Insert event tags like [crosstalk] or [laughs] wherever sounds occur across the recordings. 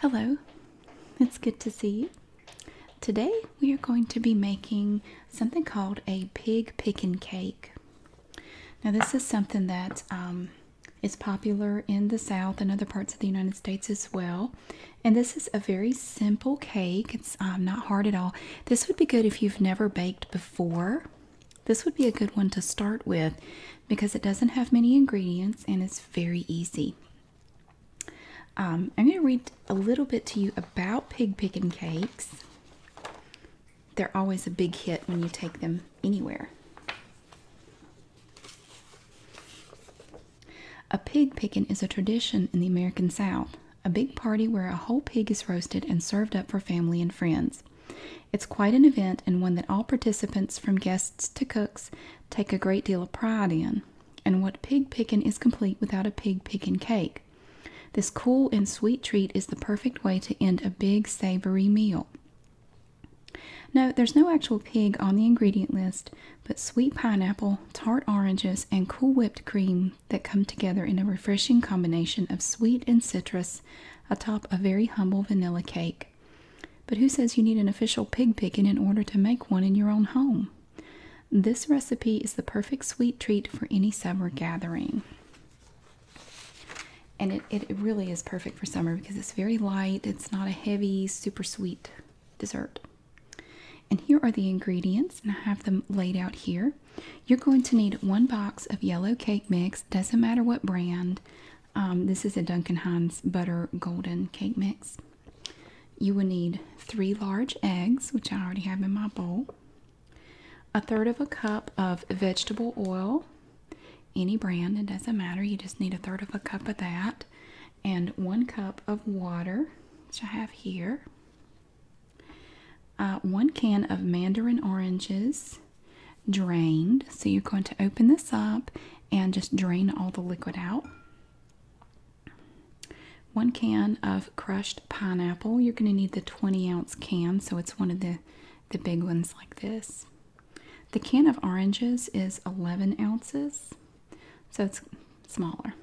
Hello, it's good to see you. Today we are going to be making something called a pig pickin' cake. Now this is something that um, is popular in the South and other parts of the United States as well. And this is a very simple cake um, not hard at all. This would be good if you've never baked before. This would be a good one to start with because it doesn't have many ingredients and it's very easy. Um, I'm going to read a little bit to you about pig pickin' cakes. They're always a big hit when you take them anywhere. A pig pickin' is a tradition in the American South a big party where a whole pig is roasted and served up for family and friends. It's quite an event and one that all participants, from guests to cooks, take a great deal of pride in. And what pig picking is complete without a pig picking cake. This cool and sweet treat is the perfect way to end a big savory meal. No, there's no actual pig on the ingredient list, but sweet pineapple, tart oranges, and cool whipped cream that come together in a refreshing combination of sweet and citrus atop a very humble vanilla cake. But who says you need an official pig pickin in order to make one in your own home? This recipe is the perfect sweet treat for any summer gathering. And it, it really is perfect for summer because it's very light, it's not a heavy, super sweet dessert. And here are the ingredients, and I have them laid out here. You're going to need one box of yellow cake mix, doesn't matter what brand. Um, this is a Duncan Hines butter golden cake mix. You will need three large eggs, which I already have in my bowl, a third of a cup of vegetable oil, any brand, it doesn't matter, you just need a third of a cup of that, and one cup of water, which I have here. Uh, one can of mandarin oranges drained. So you're going to open this up and just drain all the liquid out. One can of crushed pineapple. You're going to need the 20 ounce can, so it's one of the, the big ones like this. The can of oranges is 11 ounces, so it's smaller.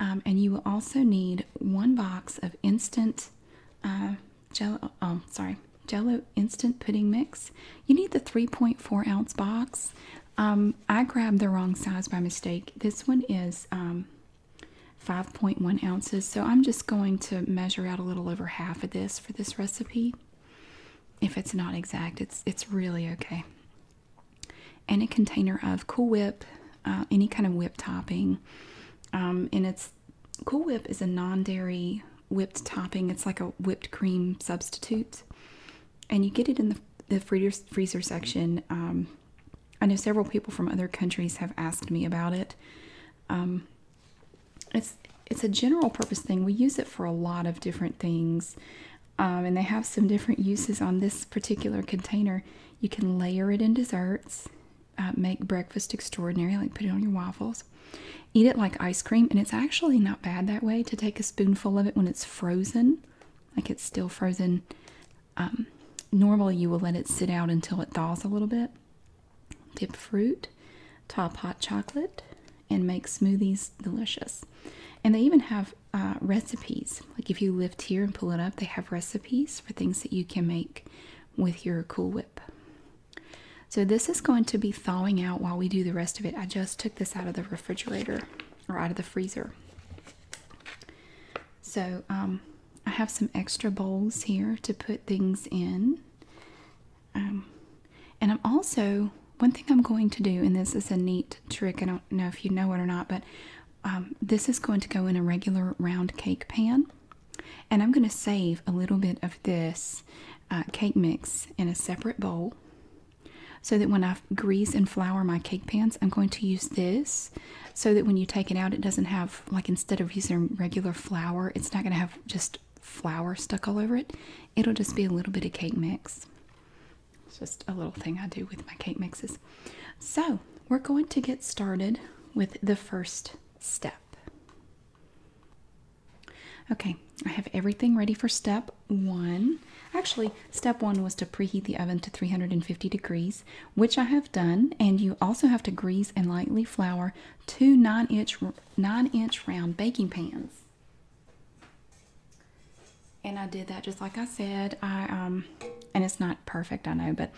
Um, and you will also need one box of instant uh, jello. Oh, sorry, Jello instant pudding mix. You need the 3.4 ounce box. Um, I grabbed the wrong size by mistake. This one is um, 5.1 ounces, so I'm just going to measure out a little over half of this for this recipe. If it's not exact, it's it's really okay and a container of Cool Whip, uh, any kind of whip topping. Um, and it's Cool Whip is a non dairy whipped topping, it's like a whipped cream substitute. And you get it in the, the freezer, freezer section. Um, I know several people from other countries have asked me about it. Um, it's it's a general purpose thing. We use it for a lot of different things, and they have some different uses on this particular container. You can layer it in desserts, uh, make breakfast extraordinary, like put it on your waffles. Eat it like ice cream, and it's actually not bad that way to take a spoonful of it when it's frozen, like it's still frozen. Um, normally, you will let it sit out until it thaws a little bit. Dip fruit, top hot chocolate, and make smoothies delicious. And they even have uh, recipes like if you lift here and pull it up, they have recipes for things that you can make with your Cool Whip. So this is going to be thawing out while we do the rest of it. I just took this out of the refrigerator or out of the freezer. So um, I have some extra bowls here to put things in. Um, and I'm also, one thing I'm going to do, and this is a neat trick, I don't know if you know it or not, but um, this is going to go in a regular round cake pan, and I'm going to save a little bit of this uh, cake mix in a separate bowl so that when I grease and flour my cake pans, I'm going to use this so that when you take it out, it doesn't have, like, instead of using regular flour, it's not going to have just flour stuck all over it. It'll just be a little bit of cake mix. It's just a little thing I do with my cake mixes. So, we're going to get started with the first step. Okay, I have everything ready for step one. Actually, step one was to preheat the oven to 350 degrees, which I have done. And you also have to grease and lightly flour two nine inch, nine inch round baking pans. And I did that just like I said. I um, and it's not perfect, I know, but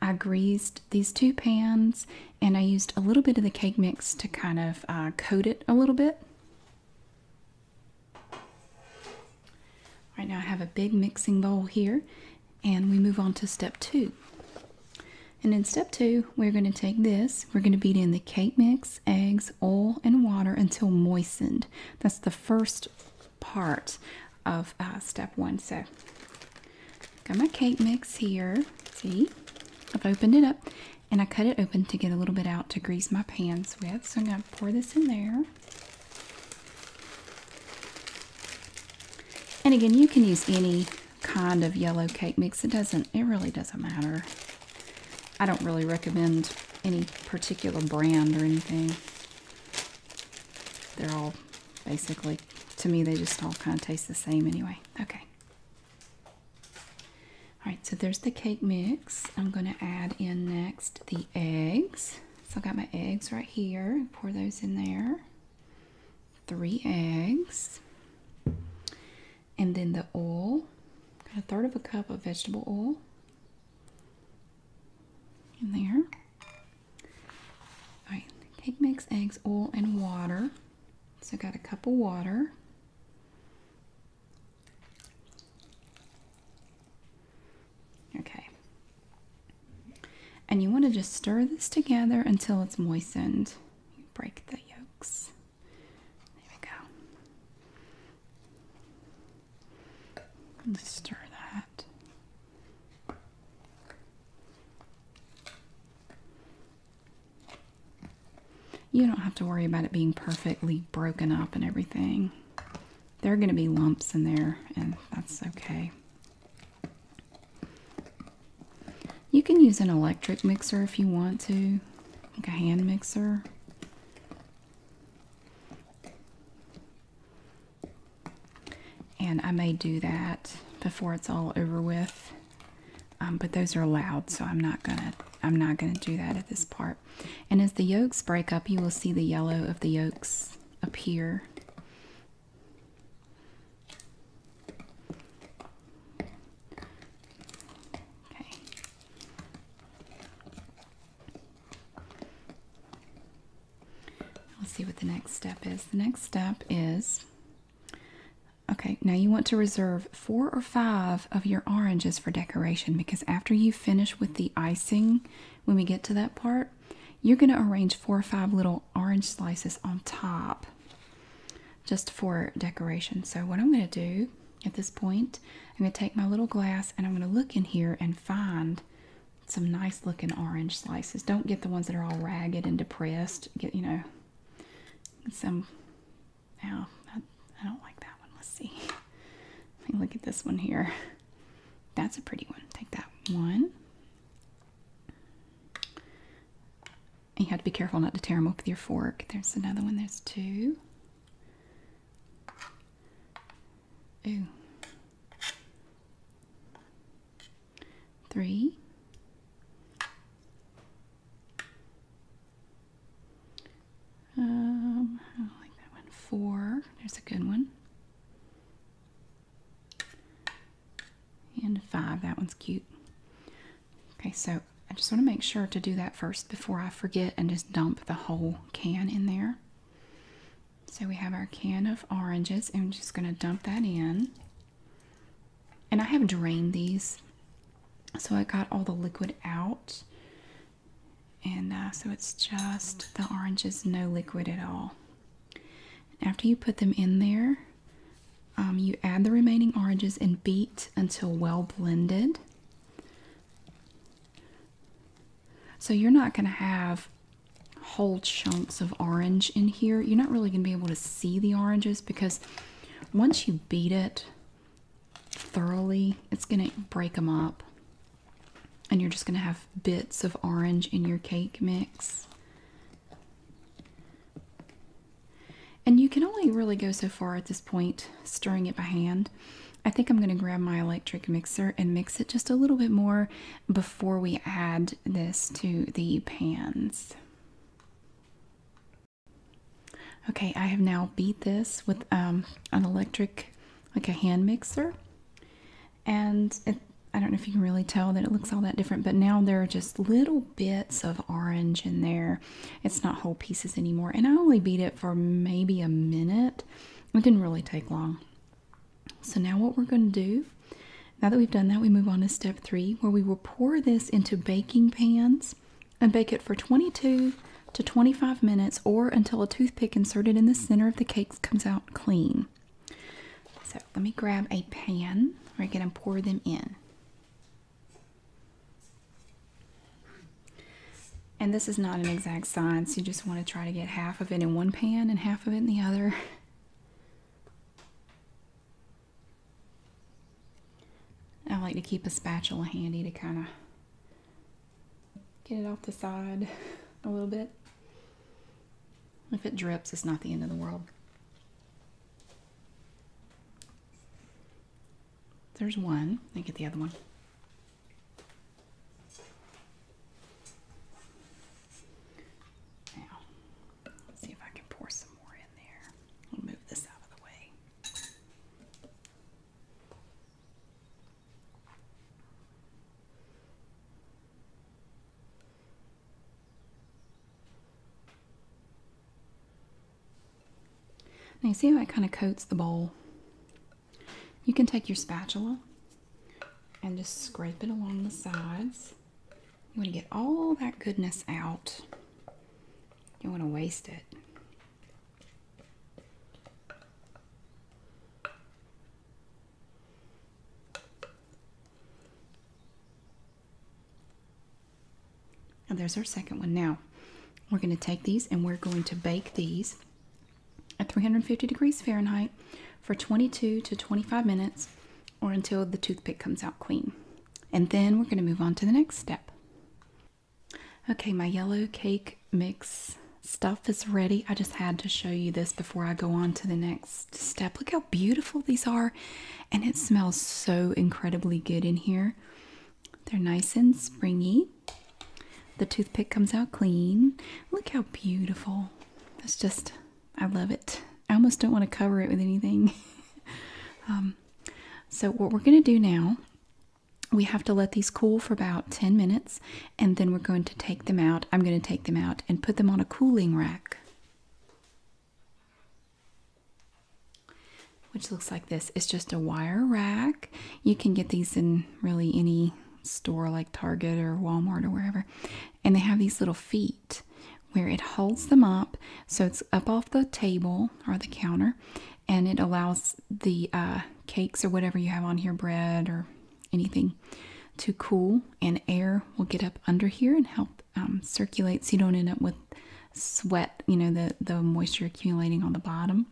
I greased these two pans and I used a little bit of the cake mix to kind of uh, coat it a little bit. Right now I have a big mixing bowl here and we move on to step two. And in step two, we're going to take this, we're going to beat in the cake mix, eggs, oil, and water until moistened. That's the first part of uh, step one. So, got my cake mix here. See, I've opened it up and I cut it open to get a little bit out to grease my pans with. So, I'm going to pour this in there. And again, you can use any kind of yellow cake mix. It doesn't, it really doesn't matter. I don't really recommend any particular brand or anything. They're all basically. To me, they just all kind of taste the same anyway. Okay. All right, so there's the cake mix. I'm going to add in next the eggs. So I got my eggs right here. Pour those in there. Three eggs. And then the oil. a third of a cup of vegetable oil in there. All right, cake mix, eggs, oil, and water. So I got a cup of water. Okay. And you want to just stir this together until it's moistened. break the yolks. There we go. let stir that. You don't have to worry about it being perfectly broken up and everything. There are going to be lumps in there, and that's okay. You can use an electric mixer if you want to, like a hand mixer. And I may do that before it's all over with. Um, but those are loud, so I'm not gonna I'm not gonna do that at this part. And as the yolks break up, you will see the yellow of the yolks appear. Okay. Let's see what the next step is. The next step is okay, now you want to reserve four or five of your oranges for decoration because after you finish with the icing, when we get to that part, you're going to arrange four or five little orange slices on top just for decoration. So, what I'm going to do at this point, I'm going to take my little glass and I'm going to look in here and find some nice looking orange slices. Don't get the ones that are all ragged and depressed. Get, you know, some, oh, I, don't like that one. Let's see. look at this one here. That's a pretty one. Take that one. You have to be careful not to tear them up with your fork. There's another one. There's two. Ooh three, um, like that one, four, there's a good one, and five, that one's cute. Okay, so I just want to make sure to do that first before I forget and just dump the whole can in there. So we have our can of oranges, and I'm just going to dump that in. And I have drained these, so I got all the liquid out. And uh, so it's just the oranges, no liquid at all. After you put them in there, um, you add the remaining oranges and beat until well blended. So you're not going to have whole chunks of orange in here. You're not really going to be able to see the oranges because once you beat it thoroughly, it's going to break them up. And you're just going to have bits of orange in your cake mix. And you can only really go so far at this point stirring it by hand. I think I'm going to grab my electric mixer and mix it just a little bit more before we add this to the pans. Okay, I have now beat this with um, an electric, like a hand mixer. And it, I don't know if you can really tell that it looks all that different, but now there are just little bits of orange in there. It's not whole pieces anymore. And I only beat it for maybe a minute. It didn't really take long. So now what we're going to do, now that we've done that, we move on to step three where we will pour this into baking pans and bake it for 22 to 25 minutes or until a toothpick inserted in the center of the cake comes out clean. So let me grab a pan where I can pour them in. And this is not an exact science. You just want to try to get half of it in one pan and half of it in the other. I like to keep a spatula handy to kind of get it off the side [laughs] a little bit. If it drips, it's not the end of the world. There's one. I get the other one. Now, let's see if I can pour some more in there. I'll move this out of the way. Now you see how it kind of coats the bowl? You can take your spatula and just scrape it along the sides you want to get all that goodness out. You don't want to waste it. And there's our second one. Now, we're going to take these and we're going to bake these at 350 degrees Fahrenheit for 22 to 25 minutes or until the toothpick comes out clean. And then we're going to move on to the next step. Okay, my yellow cake mix stuff is ready. I just had to show you this before I go on to the next step. Look how beautiful these are, and it smells so incredibly good in here. They're nice and springy. The toothpick comes out clean. Look how beautiful. It's just I love it. I almost don't want to cover it with anything. [laughs] Um, so what we're going to do now, we have to let these cool for about 10 minutes and then we're going to take them out. I'm going to take them out and put them on a cooling rack. Which looks like this. It's just a wire rack. You can get these in really any store like Target or Walmart or wherever and they have these little feet where it holds them up so it's up off the table or the counter and it allows the uh, cakes or whatever you have on here bread or anything to cool and air will get up under here and help um, circulate so you don't end up with sweat you know the the moisture accumulating on the bottom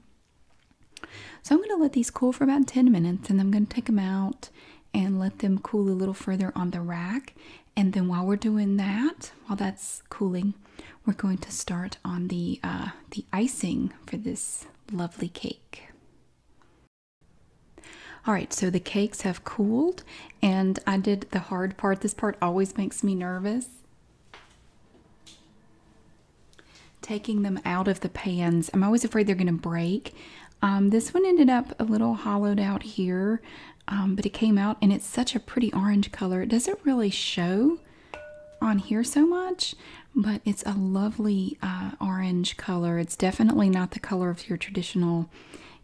so i'm going to let these cool for about 10 minutes and i'm going to take them out and let them cool a little further on the rack. And then while we're doing that, while that's cooling, we're going to start on the uh, the icing for this lovely cake. All right, so the cakes have cooled, and I did the hard part. This part always makes me nervous. Taking them out of the pans. I'm always afraid they're going to break. Um, this one ended up a little hollowed out here, um, but it came out and it's such a pretty orange color. It doesn't really show on here so much, but it's a lovely uh, orange color. It's definitely not the color of your traditional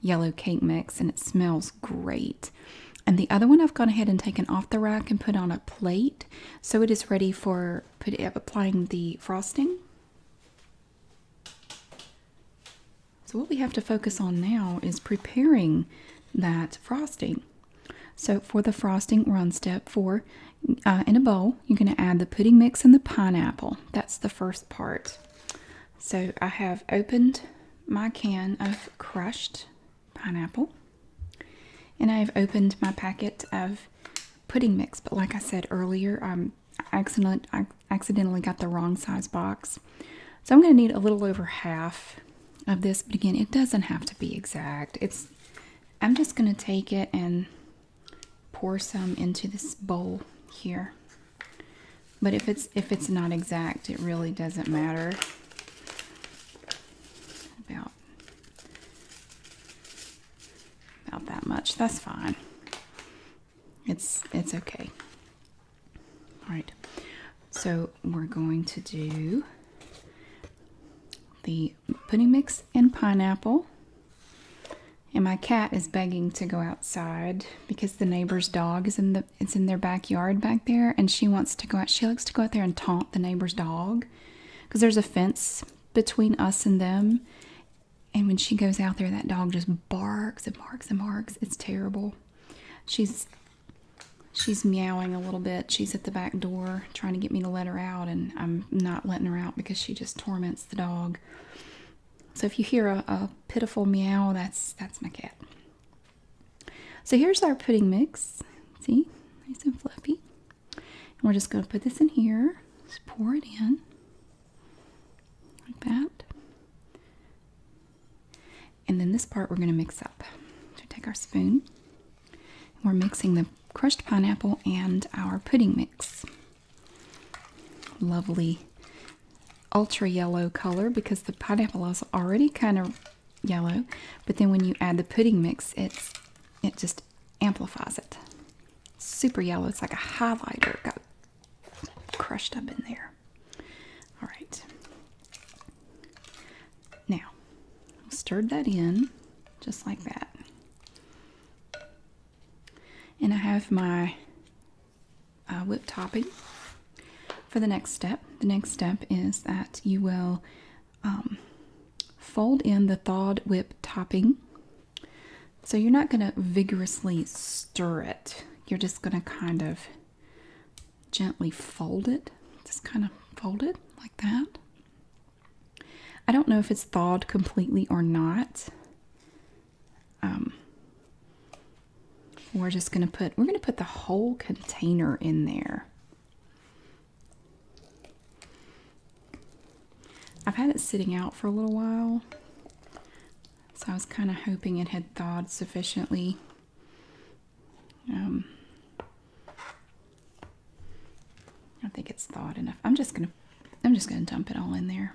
yellow cake mix and it smells great. And the other one I've gone ahead and taken off the rack and put on a plate so it is ready for put, applying the frosting. So what we have to focus on now is preparing that frosting. So for the frosting, we're on step four. Uh, in a bowl, you're going to add the pudding mix and the pineapple. That's the first part. So I have opened my can of crushed pineapple and I've opened my packet of pudding mix. But like I said earlier, I'm um, accident, I accidentally got the wrong size box. So I'm going to need a little over half of this. But again, it doesn't have to be exact. It's I'm just going to take it and pour some into this bowl here. But if it's if it's not exact, it really doesn't matter about about that much. That's fine. It's it's okay. All right. So we're going to do the pudding mix and pineapple. And my cat is begging to go outside because the neighbor's dog is in the it's in their backyard back there and she wants to go out. She likes to go out there and taunt the neighbor's dog because there's a fence between us and them and when she goes out there, that dog just barks and barks and barks. It's terrible. She's she's meowing a little bit. She's at the back door trying to get me to let her out, and I'm not letting her out because she just torments the dog. So if you hear a, pitiful meow, that's that's my cat. So here's our pudding mix. See, nice and fluffy. And we're just going to put this in here. Just pour it in like that. And then this part we're going to mix up. So take our spoon. We're mixing the crushed pineapple and our pudding mix. Lovely ultra yellow color because the pineapple is already kind of yellow, but then when you add the pudding mix, it's it just amplifies it. Super yellow. It's like a highlighter. Got crushed up in there. All right. Now, stirred that in just like that. And I have my uh, whipped topping for the next step. The next step is that you will um, fold in the thawed whipped topping so you're not going to vigorously stir it. You're just going to kind of gently fold it. Just kind of fold it like that. I don't know if it's thawed completely or not. Um, we're just going to put, we're going to put the whole container in there. I've had it sitting out for a little while. So I was kind of hoping it had thawed sufficiently. Um, I don't think it's thawed enough. I'm just gonna, I'm just gonna dump it all in there.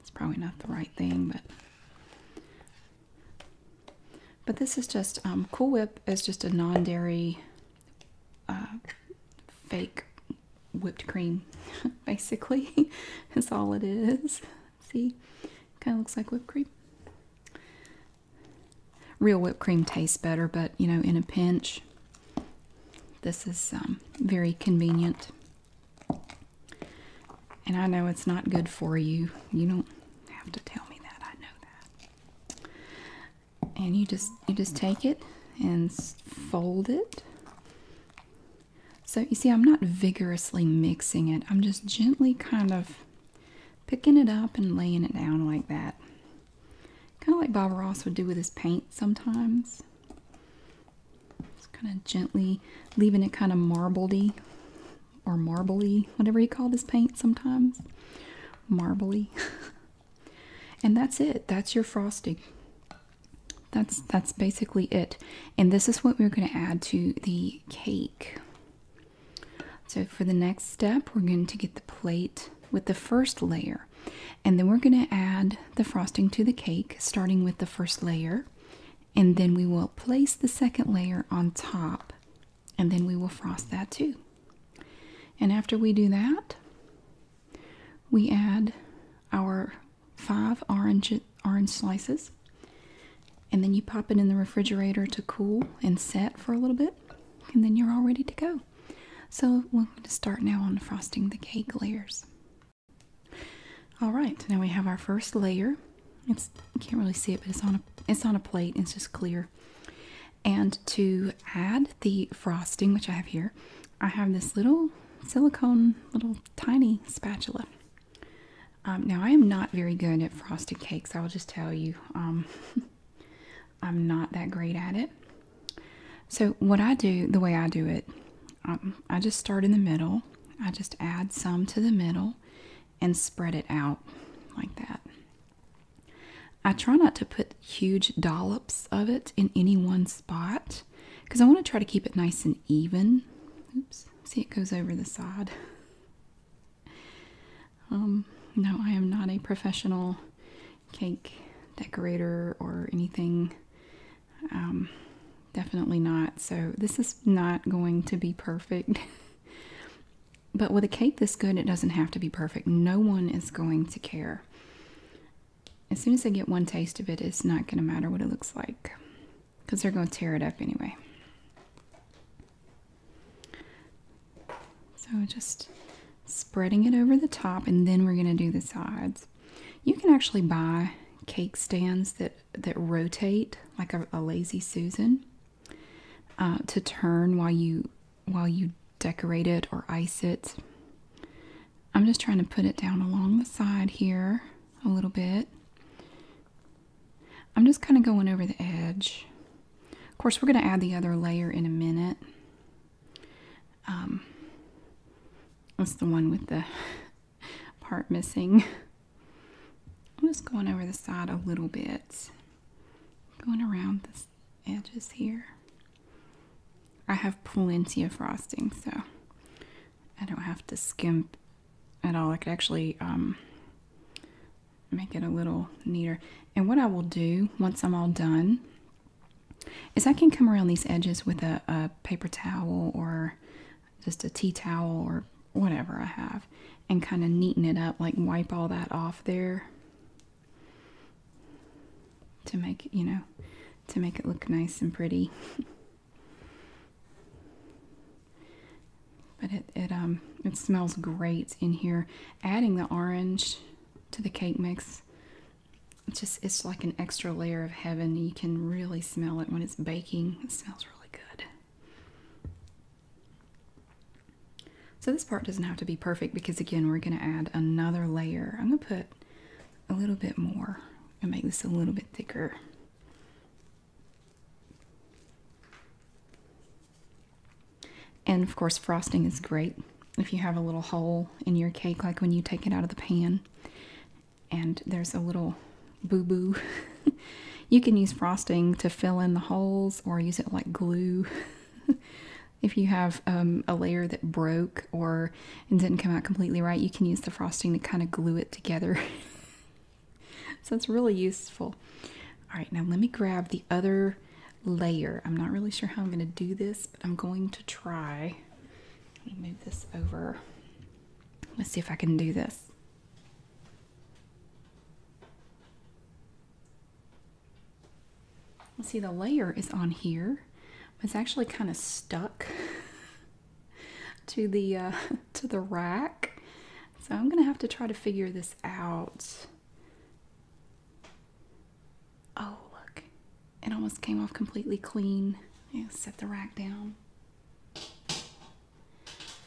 It's probably not the right thing, but but this is just um, Cool Whip is just a non-dairy uh, fake whipped cream, [laughs] basically. [laughs] That's all it is. See? Kind of looks like whipped cream. Real whipped cream tastes better, but you know, in a pinch, this is um, very convenient. And I know it's not good for you. You don't have to tell me that. I know that. And you just you just take it and fold it so you see, I'm not vigorously mixing it. I'm just gently kind of picking it up and laying it down like that. Kind of like Bob Ross would do with his paint sometimes. Just kind of gently leaving it kind of marbledy or marbly, whatever you call this paint sometimes. Marbly. [laughs] and that's it. That's your frosting that's that's basically it and this is what we're going to add to the cake so for the next step we're going to get the plate with the first layer and then we're going to add the frosting to the cake starting with the first layer and then we will place the second layer on top and then we will frost that too and after we do that we add our five orange orange slices and then you pop it in the refrigerator to cool and set for a little bit and then you're all ready to go so we're going to start now on frosting the cake layers all right now we have our first layer it's you can't really see it but it's on a it's on a plate it's just clear and to add the frosting which i have here i have this little silicone little tiny spatula. Um, now, I am not very good at frosted cakes, I'll just tell you. Um, [laughs] I'm not that great at it. So, what I do, the way I do it, um, I just start in the middle, I just add some to the middle and spread it out like that. I try not to put huge dollops of it in any one spot because I want to try to keep it nice and even. Oops, see it goes over the side. Um, no, I am not a professional cake decorator or anything. Um, definitely not. So this is not going to be perfect. [laughs] but with a cake this good, it doesn't have to be perfect. No one is going to care as soon as I get one taste of it, it's not going to matter what it looks like because they're going to tear it up anyway. So just spreading it over the top and then we're going to do the sides. You can actually buy cake stands that, that rotate like a, lazy Susan uh, to turn while you while you decorate it or ice it. I'm just trying to put it down along the side here a little bit. I'm just kind of going over the edge. Of course, we're going to add the other layer in a minute. Um, that's the one with the [laughs] part missing. I'm just going over the side a little bit. Going around the edges here. I have plenty of frosting, so I don't have to skimp at all. I could actually um, make it a little neater. And what I will do once I'm all done is I can come around these edges with a, a paper towel or just a tea towel or whatever I have and kind of neaten it up, like wipe all that off there to make, you know, to make it look nice and pretty. [laughs] But it, it um it smells great in here. Adding the orange to the cake mix it's just it's like an extra layer of heaven. You can really smell it when it's baking. It smells really good. So this part doesn't have to be perfect because again we're going to add another layer. I'm going to put a little bit more and make this a little bit thicker. And of course, frosting is great if you have a little hole in your cake, like when you take it out of the pan and there's a little boo boo. [laughs] you can use frosting to fill in the holes or use it like glue. [laughs] if you have um, a layer that broke or and didn't come out completely right, you can use the frosting to kind of glue it together. [laughs] so it's really useful. All right, now let me grab the other layer. I'm not really sure how I'm going to do this, but I'm going to try. Let me move this over. Let's see if I can do this. Let's see, the layer is on here. It's actually kind of stuck. [laughs] to the uh, [laughs] to the rack. So I'm gonna have to try to figure this out. Oh look, it almost came off completely clean. Yeah, set the rack down.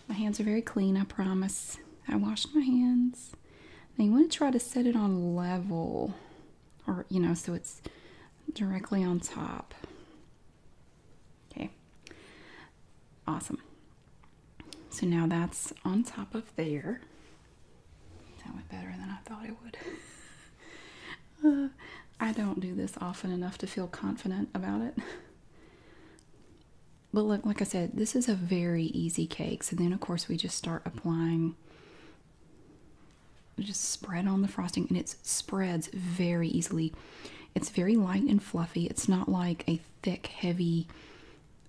My hands are very clean, I promise. I washed my hands. Now you want to try to set it on level or you know so it's directly on top. Okay, awesome. So now that's on top of there. That went better than I thought it would. [laughs] Uh, I don't do this often enough to feel confident about it. But like I said, this is a very easy cake. So then, of course, we just start applying just spread on the frosting and it spreads very easily. It's very light and fluffy. It's not like a thick, heavy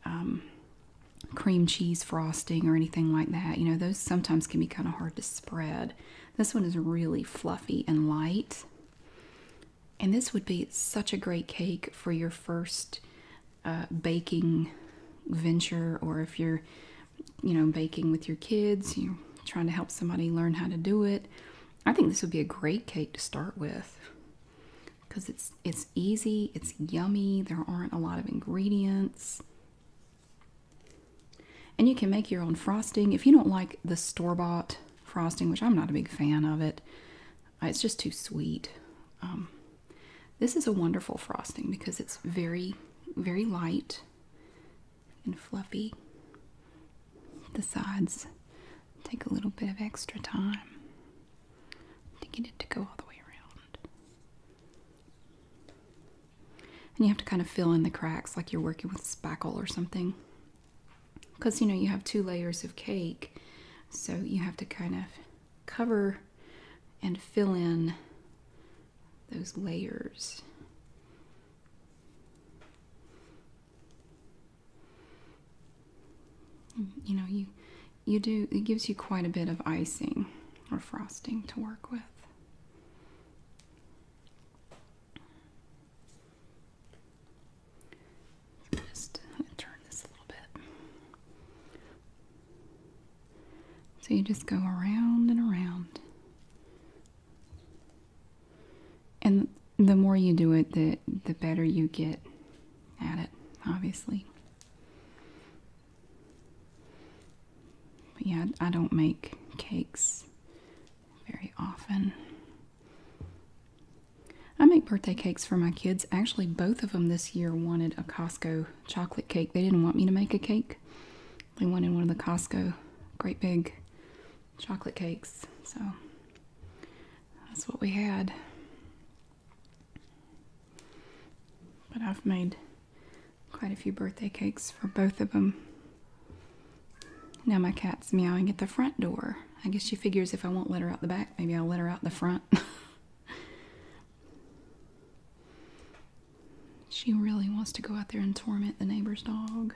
um, cream cheese frosting or anything like that. You know, those sometimes can be kind of hard to spread. This one is really fluffy and light. And this would be such a great cake for your first uh, baking venture or if you're, you know, baking with your kids, you trying to help somebody learn how to do it. I think this would be a great cake to start with because it's it's easy, it's yummy, there aren't a lot of ingredients. And you can make your own frosting. If you don't like the store-bought frosting, which I'm not a big fan of it, uh, it's just too sweet. Um, this is a wonderful frosting because it's very, very light and fluffy. The sides take a little bit of extra time to get it to go all the way around. And you have to kind of fill in the cracks like you're working with spackle or something. Because you know you have two layers of cake, so you have to kind of cover and fill in those layers you know, you you do it gives you quite a bit of icing or frosting to work with. Just turn this a little bit. So you just go around and around. And the more you do it, the the better you get at it, obviously. But yeah, I don't make cakes very often. I make birthday cakes for my kids. Actually, both of them this year wanted a Costco chocolate cake. They didn't want me to make a cake. They wanted one of the Costco great big chocolate cakes. So that's what we had. But I've made quite a few birthday cakes for both of them. Now my cat's meowing at the front door. I guess she figures if I won't let her out the back, maybe I'll let her out the front. [laughs] she really wants to go out there and torment the neighbor's dog.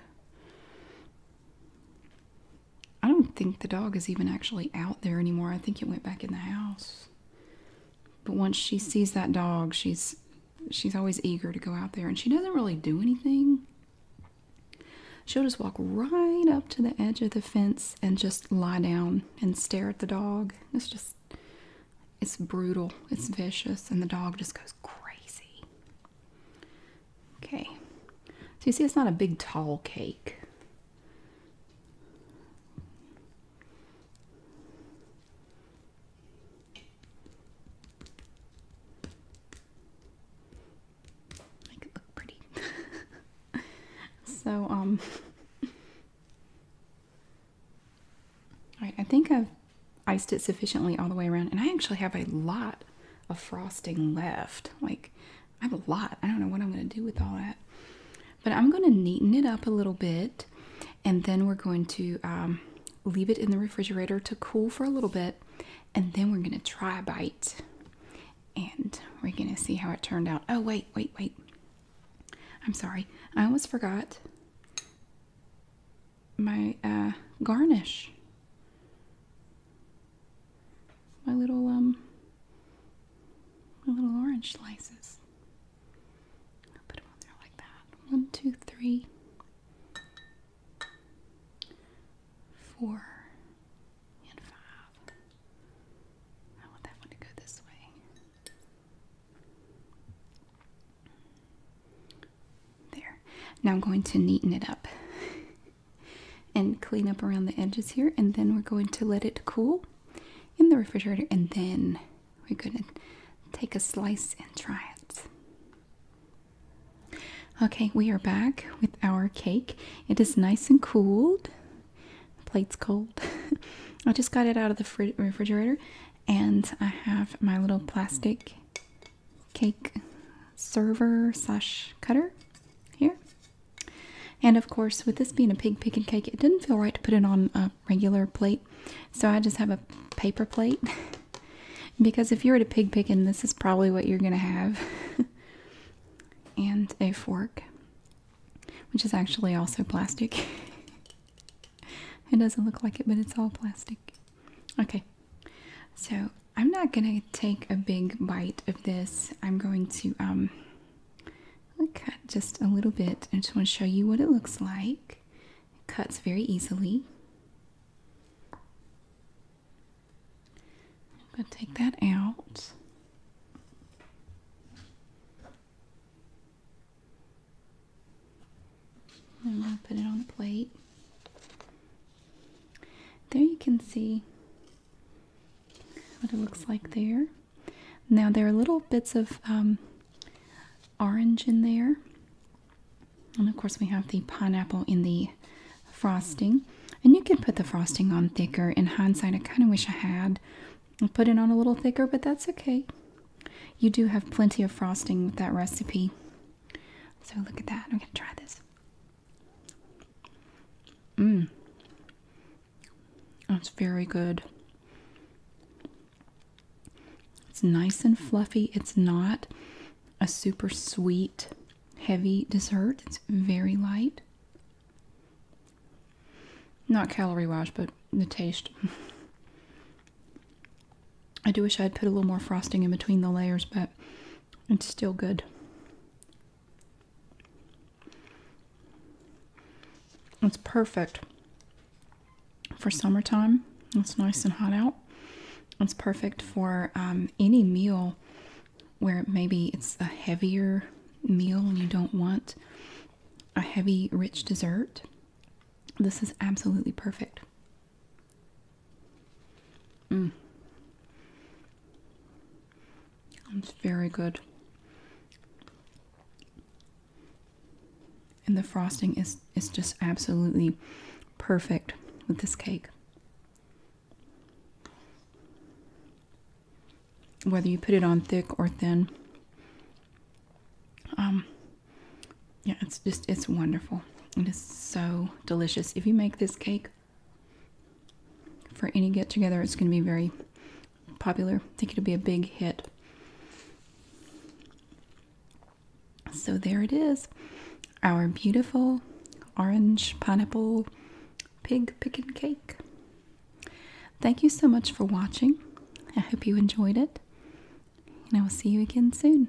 I don't think the dog is even actually out there anymore. I think it went back in the house. But once she sees that dog, she's she's always eager to go out there and she doesn't really do anything. She'll just walk right up to the edge of the fence and just lie down and stare at the dog. It's just it's brutal. It's vicious and the dog just goes crazy. Okay, so you see it's not a big tall cake. Make it look pretty. [laughs] so, um, [laughs] all right, I think I've iced it sufficiently all the way around. And I actually have a lot of frosting left. Like, I have a lot. I don't know what I'm going to do with all that. But I'm going to neaten it up a little bit. And then we're going to um, leave it in the refrigerator to cool for a little bit. And then we're going to try a bite. And we're going to see how it turned out. Oh, wait, wait, wait. I'm sorry. I almost forgot my uh, garnish. My little um my little orange slices. I'll put them on there like that. One, two, three, four, and five. I want that one to go this way. There. Now I'm going to neaten it up [laughs] and clean up around the edges here, and then we're going to let it cool in the refrigerator, and then we're going to take a slice and try it. Okay, we are back with our cake. It is nice and cooled. plate's cold. [laughs] I just got it out of the refrigerator, and I have my little plastic cake server slash cutter here. And of course, with this being a pig pickin' cake, it didn't feel right to put it on a regular plate. So I just have a paper plate. [laughs] because if you were to a pig pickin', this is probably what you're going to have. [laughs] and a fork, which is actually also plastic. [laughs] it doesn't look like it, but it's all plastic. Okay, so I'm not gonna take a big bite of this. I'm going to um, cut just a little bit. I just want to show you what it looks like. It cuts very easily. I'm gonna take that out. I'm gonna put it on the plate. There you can see what it looks like there. Now there are little bits of um, orange in there. And of course we have the pineapple in the frosting. And you can put the frosting on thicker. In hindsight, I kind of wish I had put it on a little thicker, but that's okay. You do have plenty of frosting with that recipe. So look at that. I'm going to try this. Mmm. That's very good. It's nice and fluffy. It's not a super sweet, heavy dessert. It's very light. Not calorie wash, but the taste. [laughs] I do wish I had put a little more frosting in between the layers, but it's still good. It's perfect for summertime. It's nice and hot out. It's perfect for um, any meal where maybe it's a heavier meal and you don't want a heavy, rich dessert. This is absolutely perfect. Mm. It's very good. And the frosting is, is just absolutely perfect with this cake. Whether you put it on thick or thin. Um, yeah, it's just, it's wonderful. It is so delicious. If you make this cake, for any get together. It's going to be very popular. I think it'll be a big hit. So there it is. Our beautiful orange pineapple pig pickin' cake. Thank you so much for watching. I hope you enjoyed it. And I will see you again soon.